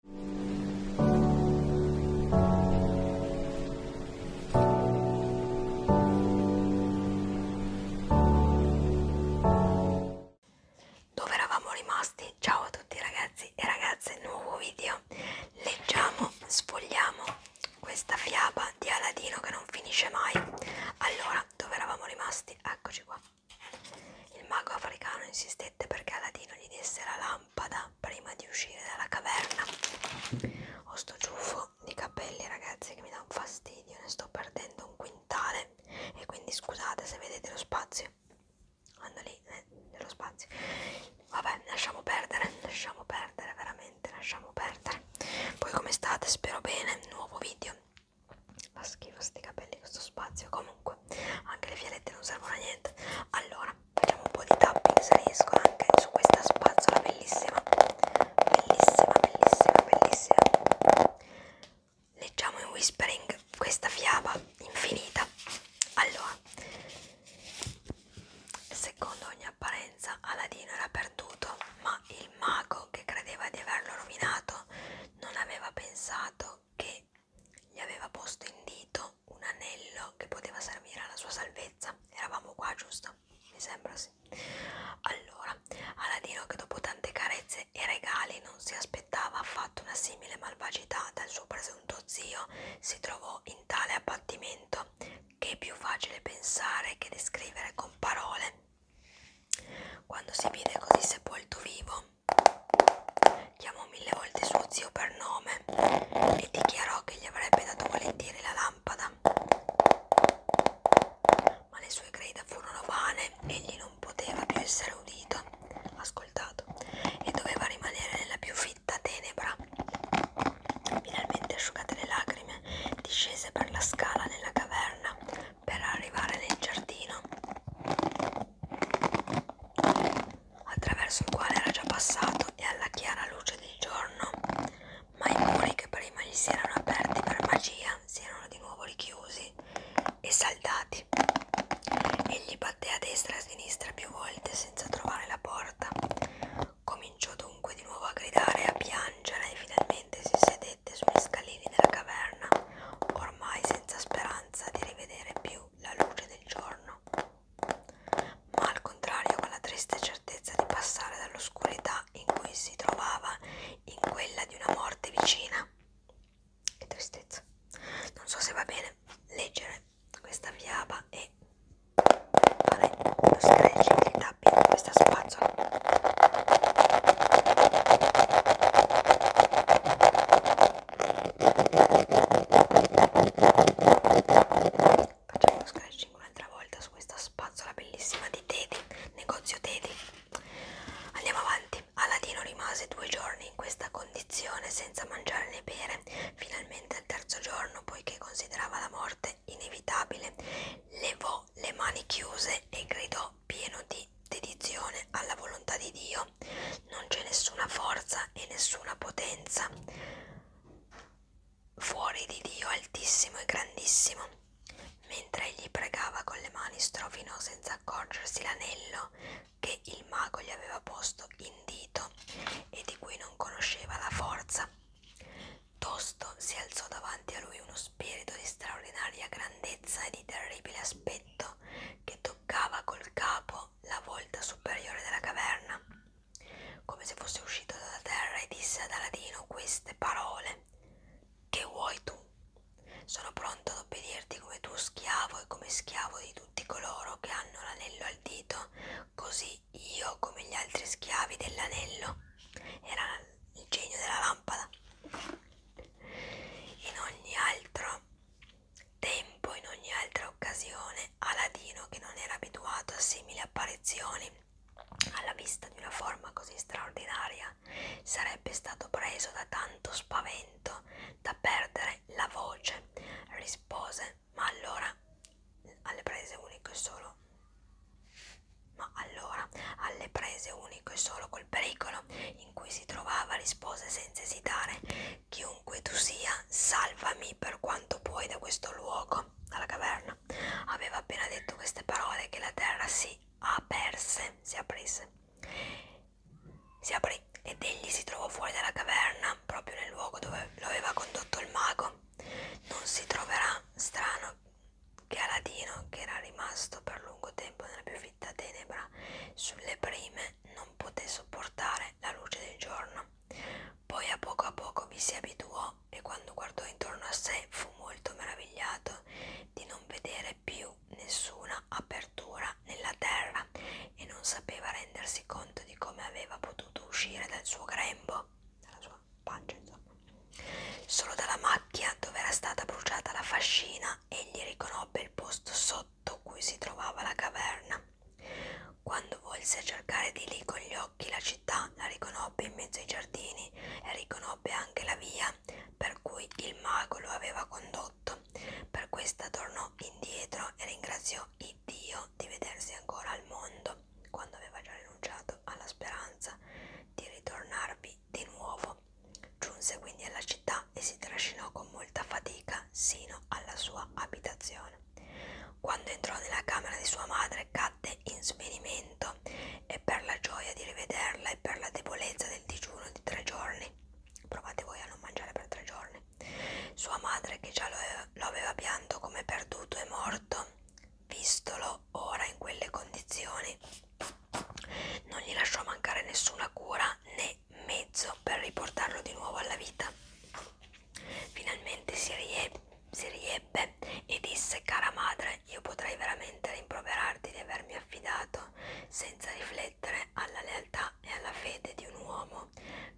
Dove eravamo rimasti? Ciao a tutti ragazzi e ragazze, nuovo video. Leggiamo, sfogliamo questa fiaba di Aladino che non finisce mai. Allora, dove eravamo rimasti? Eccoci qua. Il mago africano insistette perché Aladino gli desse la lampada prima di uscire dalla caverna. Ho sto ciuffo di capelli, ragazzi, che mi dà un fastidio, ne sto perdendo un quintale. E quindi scusate se vedete lo spazio. Ando lì, eh, nello spazio. Vabbè, lasciamo perdere, lasciamo perdere, veramente, lasciamo perdere. Poi come state? Spero bene, nuovo video la schifo sti capelli questo spazio comunque anche le fialette non servono a niente allora facciamo un po' di tapping se riesco anche su questa spazzola bellissima bellissima bellissima bellissima leggiamo in whispering questa fiaba infinita allora secondo ogni apparenza Aladino era perduto ma il mago che credeva di averlo rovinato non aveva pensato che gli aveva posto in dito un anello che poteva servire alla sua salvezza. Eravamo qua, giusto? Mi sembra sì. Allora, Aladino, che dopo tante carezze e regali non si aspettava affatto una simile malvagità dal suo presunto zio, si trovò in tale abbattimento che è più facile pensare che descrivere con parole. Quando si vide così sepolto vivo, chiamò mille volte suo zio per nome e dichiarò che gli avrebbe dato volentieri la lampada. Ma le sue grida furono vane, egli non poteva più essere udito, ascoltato, e doveva rimanere nella più fitta tenebra. Finalmente asciugate le lacrime, discese per la scala nella caverna per arrivare nel giardino attraverso il quale era già passato e alla chiara luce del giorno, ma i muri che prima gli si erano aperti per magia si erano di nuovo richiusi e saldati. Egli batté a destra e a sinistra più volte senza trovare la porta. Cominciò dunque di nuovo a gridare e a piangere e finalmente Finalmente si sedette sugli scalini della caverna, ormai senza speranza di rivedere più la luce del giorno, ma al contrario con la triste certezza di passare dall'oscurità in cui si trovava in quella di una morte vicina. Che tristezza. Non so se va bene leggere questa fiaba e fare lo scratch in realtà sabbia con questa spazzola facciamo uno scratching un'altra volta su questa spazzola bellissima di Teddy negozio Teddy andiamo avanti Aladino rimase due giorni in questa condizione senza mangiare né bere finalmente al terzo giorno poiché considerava la morte inevitabile levò le mani chiuse e gridò pieno di dedizione alla volontà di Dio. Non c'è nessuna forza e nessuna potenza fuori di Dio altissimo e grandissimo. Mentre egli pregava con le mani strofinò senza accorgersi l'anello che il mago gli aveva posto in dito e di cui non conosceva la forza. Tosto si alzò davanti a lui uno spirito di straordinaria grandezza e di terribile aspetto che toccava col capo la volta superiore della caverna, come se fosse uscito dalla terra e disse ad Aladino queste parole. Che vuoi tu? Sono pronto ad obbedirti come tuo schiavo e come schiavo di tutti coloro che hanno l'anello al dito Così io, come gli altri schiavi dell'anello, era il genio della lampada. In ogni altro tempo, in ogni altra occasione, Aladino, che non era abituato a simili apparizioni, alla vista di una forma così straordinaria, sarebbe stato preso da tanto spavento da perdere la voce, rispose ma allora alle prese unico e solo ma allora alle prese unico e solo col pericolo in cui si trovava rispose senza esitare chiunque tu sia salvami per quanto puoi da questo luogo dalla caverna aveva appena detto queste parole che la terra si aperse si aprisse si aprì ed egli si trovò fuori dalla caverna proprio nel luogo dove lo aveva condotto il mago non si troverà strano che Aladino, che era rimasto per lungo tempo nella più fitta tenebra sulle prime, non poté sopportare la luce del giorno. Poi a poco a poco vi si abituò e quando guardò intorno a sé fu molto meravigliato di non vedere più nessuna apertura nella terra e non sapeva rendersi conto di come aveva potuto uscire dal suo grembo, dalla sua pancia insomma. Solo dalla macchia dove era stata bruciata la fascina egli riconobbe il posto sotto cui si trovava la caverna. Quando volse cercare di lì con gli occhi la città, la riconobbe in mezzo ai giardini e riconobbe anche la via per cui il mago lo aveva condotto. Per questa tornò indietro e ringraziò il Dio di vedersi ancora al mondo quando aveva già rinunciato alla speranza di ritornarvi di nuovo. Giunse quindi alla città e si trascinò con molta fatica sino alla sua abitazione. Quando entrò nella camera di sua madre cadde in svenimento e per la gioia di rivederla e per la debolezza del digiuno di tre giorni, provate voi a non mangiare per tre giorni, sua madre, che già lo aveva pianto come perduto e morto, vistolo ora in quelle condizioni, non gli lasciò mancare nessuna cura né mezzo per riportarlo di nuovo alla vita. Finalmente si, rieb si riebbe e disse: Cara madre, io potrei veramente rimproverarti di avermi affidato fatto senza riflettere alla lealtà e alla fede di un uomo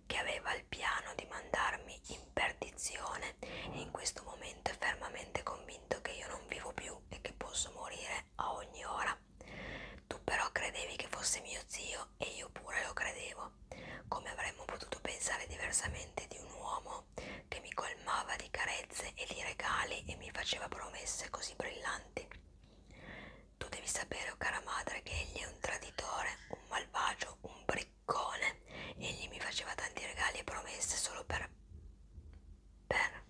che aveva il piano di mandarmi in perdizione e in questo momento è fermamente convinto che io non vivo più e che posso morire a ogni ora. Tu però credevi che fosse mio zio e io pure lo credevo. Come avremmo potuto pensare diversamente di un uomo che mi colmava di carezze e di regali e mi faceva promesse così brillanti? Tu devi sapere, oh cara madre, che egli è un traditore, un malvagio, un briccone. Egli mi faceva tanti regali e promesse solo per... per...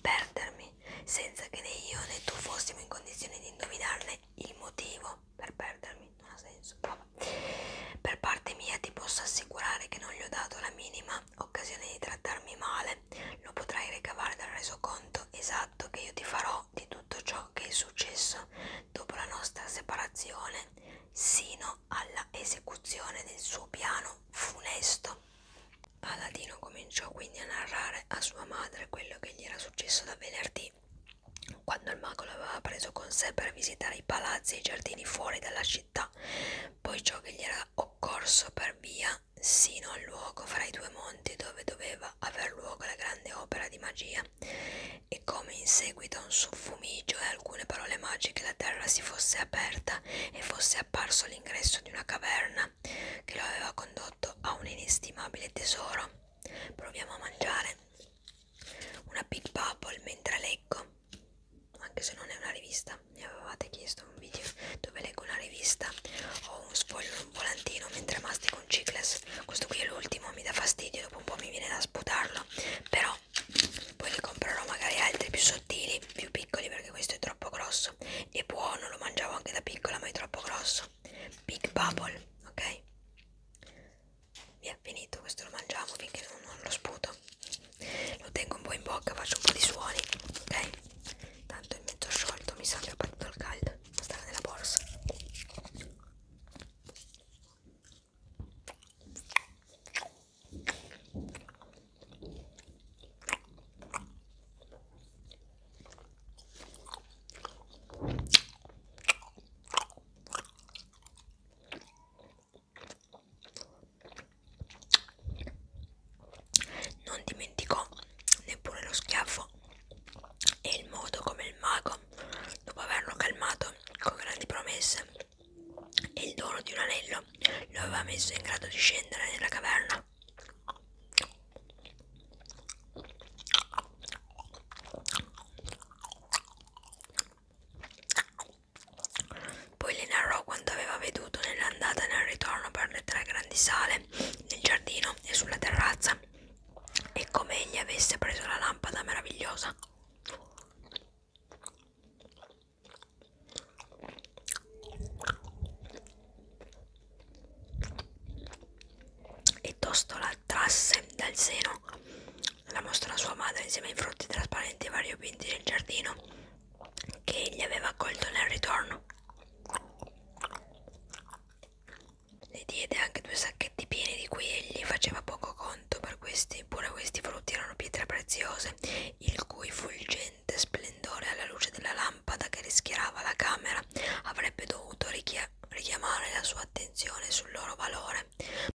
perdermi, senza che né io né tu fossimo in condizione di indovinarne il motivo per perdermi. Non ha senso, vabbè. Per parte mia ti posso assicurare che non gli ho dato la minima occasione di trattarmi male. Lo potrai ricavare dal resoconto ricordo esatto che io ti farò di tutto ciò che è successo dopo la nostra separazione, sino alla esecuzione del suo piano funesto. Aladino cominciò quindi a narrare a sua madre quello che gli era successo da venerdì, quando il mago l'aveva preso con sé per visitare i palazzi e i giardini fuori dalla città, poi ciò che gli era occorso per via sino al luogo fra i due monti dove doveva aver luogo la grande opera di magia e come in seguito a un suffumigio e alcune parole magiche la terra si fosse aperta e fosse apparso l'ingresso di una caverna che lo aveva condotto a un inestimabile tesoro. Proviamo a mangiare una Big Bubble mentre leggo anche se non è una rivista mi avevate chiesto un video dove leggo una rivista o un sfoglio un volantino mentre mastico un cicles questo qui è l'ultimo mi dà fastidio dopo un po' mi viene da sputarlo però poi ne comprerò magari altri più sottili più piccoli perché questo è troppo grosso è buono lo mangiavo anche da piccola ma è troppo grosso big bubble ok mi è finito questo lo mangiamo finché non, non lo sputo lo tengo un po' in bocca faccio un po' di suoni ok tanto è mezzo sciolto mi sa che ho partito il caldo stava nella borsa non dimenticò neppure lo schiaffo e il modo come il mago, dopo averlo calmato con grandi promesse e il dono di un anello, lo aveva messo in grado di scendere nella caverna. Poi le narrò quanto aveva veduto nell'andata e nel ritorno per le tre grandi sale, nel giardino e sulla terrazza, e come egli avesse preso la lampada meravigliosa. E tosto la trasse dal seno la mostrò a sua madre insieme ai frutti trasparenti e variopinti del giardino che egli aveva accolto nel ritorno. Le diede anche due sacchetti pieni di cui egli faceva poco conto, per questi, pure questi frutti erano pietre preziose, il cui fulgente splendore alla luce della lampada che rischiarava la camera avrebbe dovuto richiamare la sua attenzione sul loro valore,